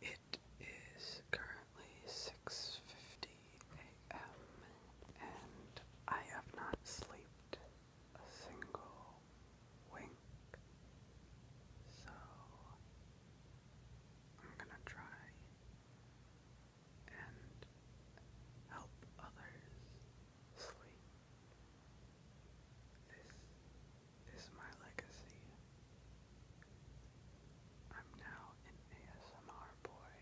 It is currently 6:50 a.m. and I have not slept a single wink. So I'm going to try and help others sleep. This is my legacy. I'm now an ASMR boy.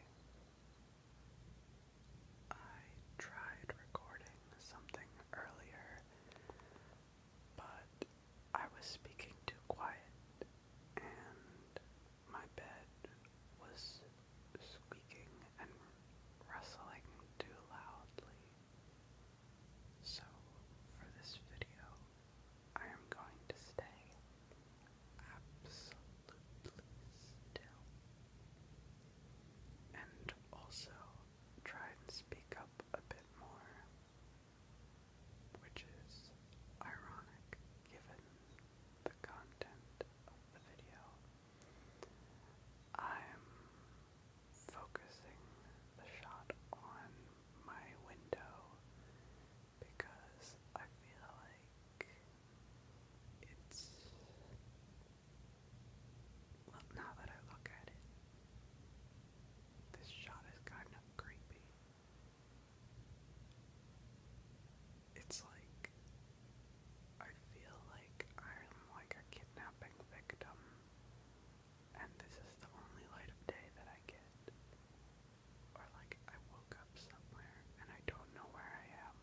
I tried recording something earlier, but I was speaking too quiet and my bed was squeaking and rustling too loudly. So, for this video, I am going to stay absolutely still and also try and speak up a bit more, which is ironic given the content of the video. I'm focusing the shot on my window because I feel like it's well now that I look at it this shot is kind of creepy. It's like I feel like I'm like a kidnapping victim and this is the only light of day that I get. Or like I woke up somewhere and I don't know where I am.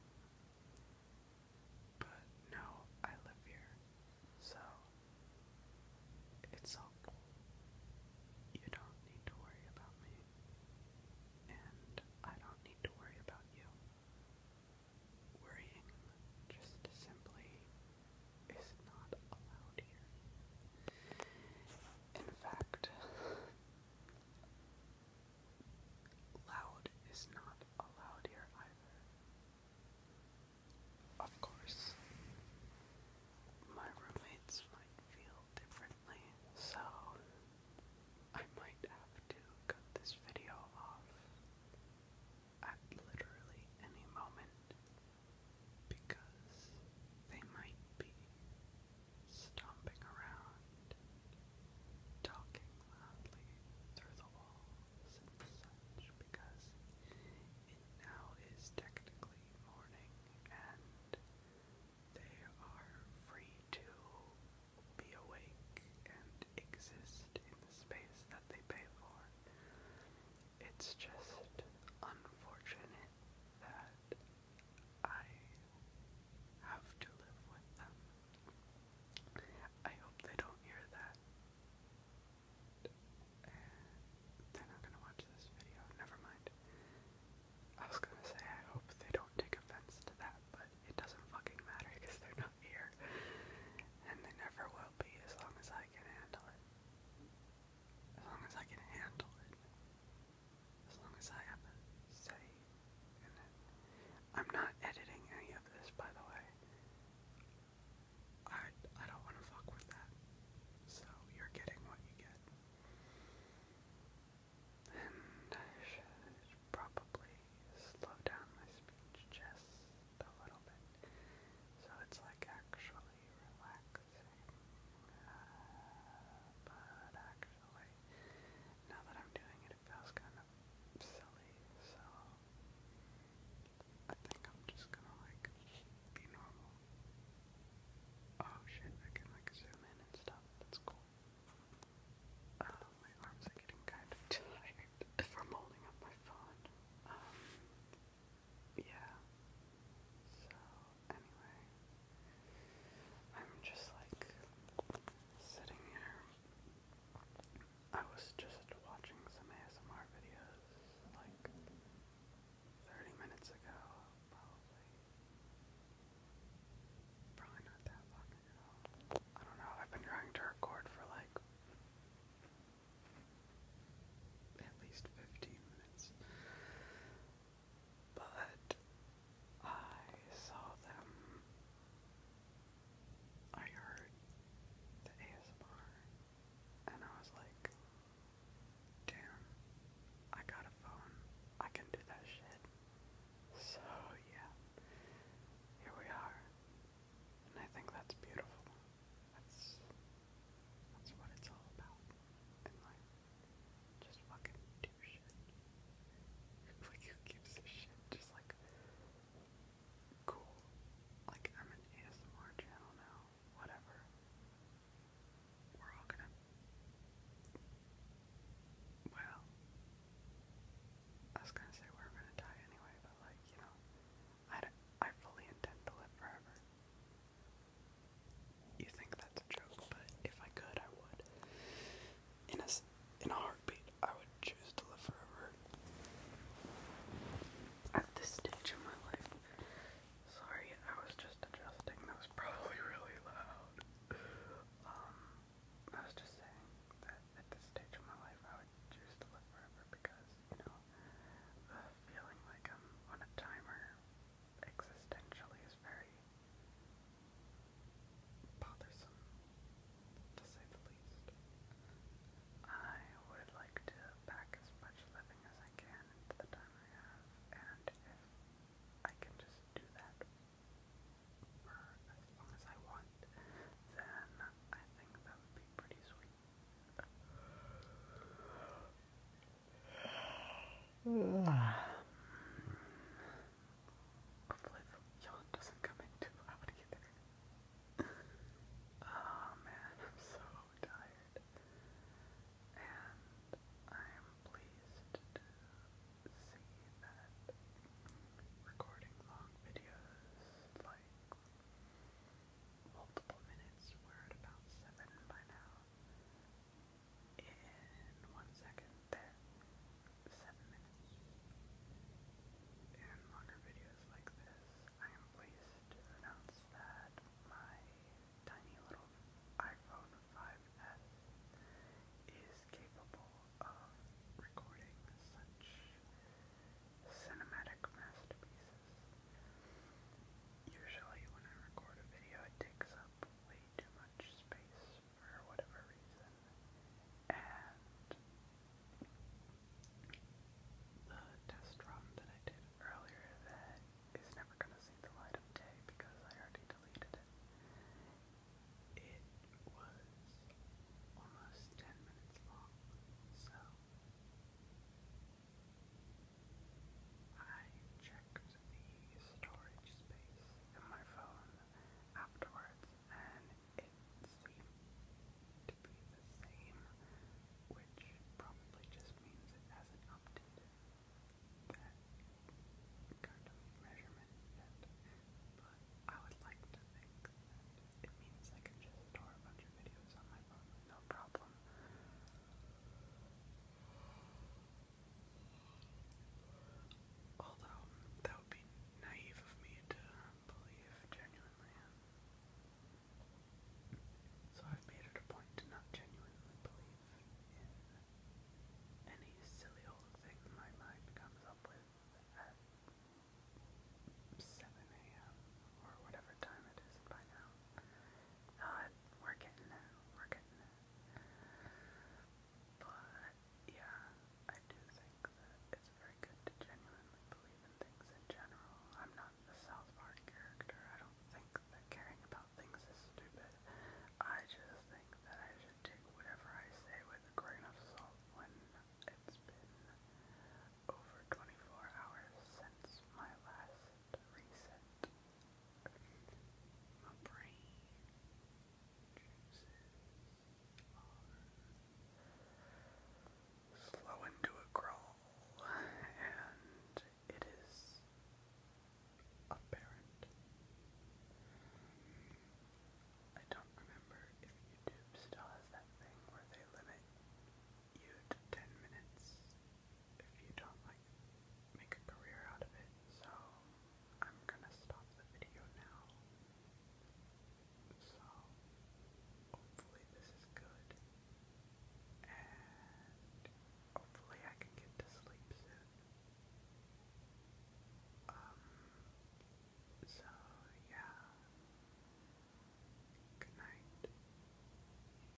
But no, I live here. So it's all cool. You don't need to worry about me. And I don't need to worry about you. Worrying just simply is not allowed here. In fact, loud is not allowed here either. Of course, my roommates might feel differently, so I might have to cut this video off at literally any moment because they might be stomping around, talking loudly through the walls and such because it now is technically morning and they are free to be awake and exist in the space that they pay for. It's just unfortunate that I have to live with them. I hope they don't hear that. they're not gonna watch this video, never mind. I was gonna say I hope they don't take offense to that, but it doesn't fucking matter because they're not here. And they never will be as long as I can handle it. As long as I can handle it. As long as I have a say I'm not editing any of this, by the way. I I don't want to fuck with that. So you're getting what you get. And I should probably slow down my speech just a little bit. So it's like actually relaxing. Uh, but actually, now that I'm doing it, it feels kind of silly. So I think I'm just gonna like be normal. Oh shit, I can like zoom in and stuff. That's cool. Uh, my arms are getting kind of tired from holding up my phone. Um, yeah. So, anyway, I'm just like sitting here. I was just watching some ASMR videos like 30 minutes ago, probably. Probably not that long ago. I don't know, I've been trying to record for like at least 15 minutes. But I saw them. I heard the ASMR and I was like, damn, I got a phone. I can do that shit. So yeah, here we are. And I think that's beautiful. That's that's what it's all about in Just fucking do shit. who gives a shit? Just like cool. Like I'm an ASMR channel now. Whatever. We're all gonna well I was gonna say we're gonna die anyway, but like, you know, I, I fully intend to live forever. You think that's a joke, but if I could, I would. In a, in a heartbeat, I would choose to live forever. At this stage of my life, sorry, I was just adjusting. That was probably really loud. Um, I was just saying that at this stage of my life, I would choose to live forever because, you know, the uh, feeling like I'm on a timer existentially is very bothersome, to say the least. I would like to back as much living as I can into the time I have, and if I can just do that for as long as I want, then I think that would be pretty sweet. Hopefully the doesn't come in too loud oh man, I'm so tired. And I'm pleased to see that recording long videos like multiple minutes. We're at about seven by now. In one second, there. Seven minutes. In longer videos like this, I am pleased to announce that my tiny little iPhone 5S is capable of recording such cinematic masterpieces. Usually when I record a video it takes up way too much space for whatever reason. And the test run that I did earlier that is never going to see the light of day because I already deleted it. It was almost 10 minutes long, so I checked the storage space in my phone afterwards and it seemed to be the same, which probably just means it hasn't updated that kind of measurement But I would like to think that it means I can just store a bunch of videos on my phone no problem. Although, that would be naive of me to believe genuinely. So I've made it a point to not genuinely believe in any silly old thing my mind comes up with at 7 a.m. or whatever time it is by now. Uh, we're But, yeah, I do think that it's very good to genuinely believe in things in general. I'm not a South Park character. I don't think that caring about things is stupid. I just think that I should take whatever I say with a grain of salt when it's been over 24 hours since my last reset. My brain juices are slowing to a crawl, and it is apparent. I don't remember if YouTube still has that thing where they limit you to 10 minutes if you don't like make a career out of it. So I'm gonna stop the video now. So hopefully this is good. And hopefully I can get to sleep soon. Um so yeah. Good night.